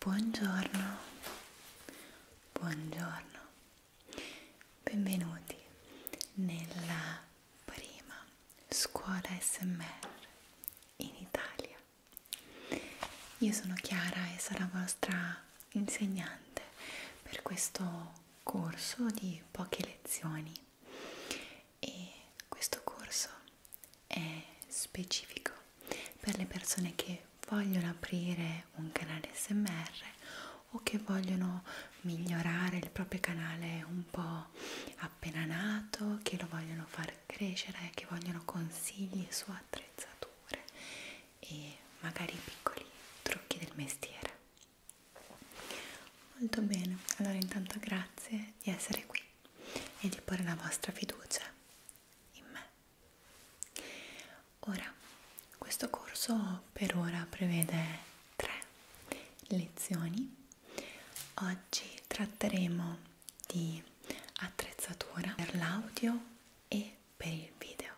Buongiorno, buongiorno, benvenuti nella prima scuola SMR in Italia. Io sono Chiara e sarò vostra insegnante per questo corso di poche lezioni e questo corso è specifico per le persone che vogliono aprire un canale SMR o che vogliono migliorare il proprio canale un po' appena nato, che lo vogliono far crescere che vogliono consigli su attrezzature e magari piccoli trucchi del mestiere molto bene allora intanto grazie di essere qui e di porre la vostra fiducia in me ora questo corso per ora prevede tre lezioni oggi tratteremo di attrezzatura per l'audio e per il video.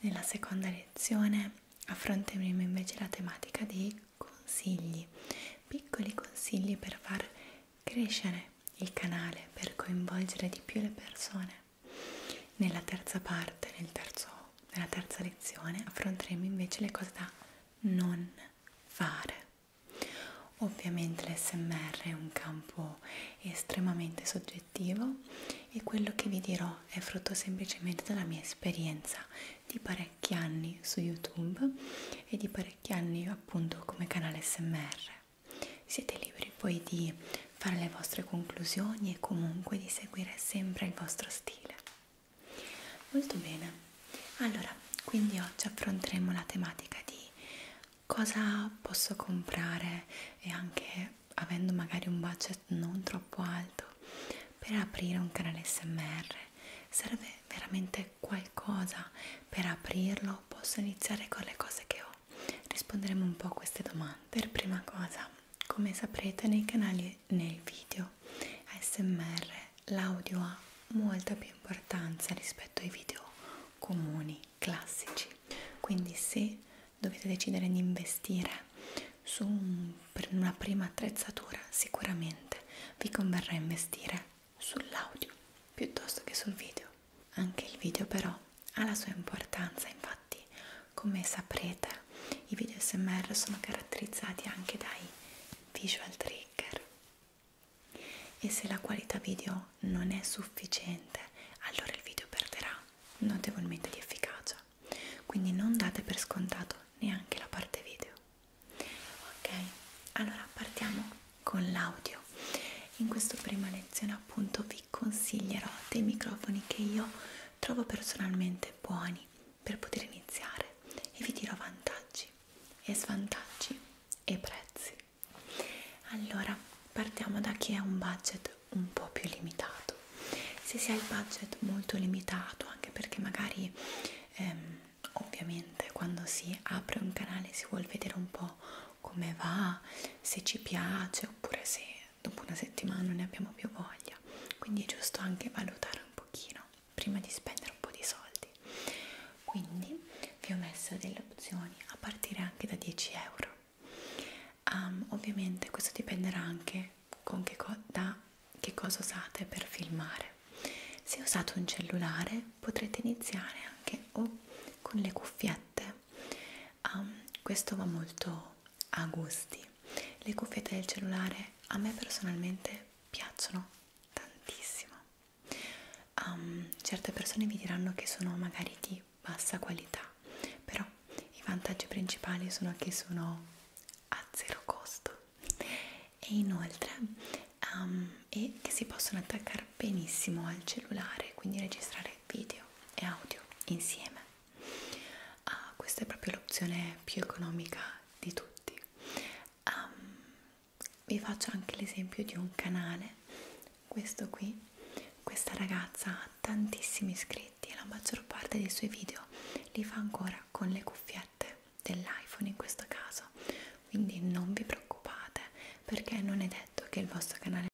Nella seconda lezione affronteremo invece la tematica dei consigli, piccoli consigli per far crescere il canale, per coinvolgere di più le persone. Nella terza parte, nel terzo, nella terza lezione, affronteremo invece le cose da non fare. Ovviamente l'SMR è un campo estremamente soggettivo e quello che vi dirò è frutto semplicemente della mia esperienza di parecchi anni su YouTube e di parecchi anni appunto come canale SMR. Siete liberi poi di fare le vostre conclusioni e comunque di seguire sempre il vostro stile. Molto bene, allora quindi oggi affronteremo la tematica di cosa posso comprare e anche avendo magari un budget non troppo alto per aprire un canale SMR. Serve veramente qualcosa per aprirlo? Posso iniziare con le cose che ho? Risponderemo un po' a queste domande. Per prima cosa, come saprete nei canali come nel video ASMR l'audio ha molta più importanza rispetto ai video comuni, classici. Quindi se dovete decidere di investire su un, per una prima attrezzatura, sicuramente vi converrà investire sull'audio piuttosto che sul video. Anche il video però ha la sua importanza, infatti come saprete eccetera. I video SMR sono caratterizzati anche dai visual trigger e se la qualità video non è sufficiente, allora il video perderà notevolmente di efficacia. Quindi non date per scontato neanche la parte video. Ok, allora partiamo con l'audio. In questa prima lezione appunto vi consiglierò dei microfoni che io trovo personalmente buoni per poter iniziare e vi dirò vantaggi e svantaggi e prezzi. Allora, partiamo da chi ha un budget un po' più limitato. Se si ha il budget molto limitato, anche perché magari ehm, ovviamente quando si apre un canale si vuol vedere un po' come va, se ci piace oppure se dopo una settimana non ne abbiamo più voglia quindi è giusto anche valutare un pochino prima di spendere un po' di soldi quindi vi ho messo delle opzioni a partire anche da 10 euro um, ovviamente questo dipenderà anche con che da che cosa usate per filmare se usate un cellulare potrete iniziare anche o con le cuffiette um, questo va molto a gusti le cuffiette del cellulare a me personalmente piacciono tantissimo um, certe persone vi diranno che sono magari di bassa qualità però i vantaggi principali sono che sono a zero costo e inoltre um, e che si possono attaccare benissimo al cellulare quindi registrare video e audio insieme Uh, questa è proprio l'opzione più economica di tutti. Um, vi faccio anche l'esempio di un canale, questo qui, questa ragazza ha tantissimi iscritti e la maggior parte dei suoi video li fa ancora con le cuffiette dell'iPhone in questo caso, quindi non vi preoccupate perché non è detto che il vostro canale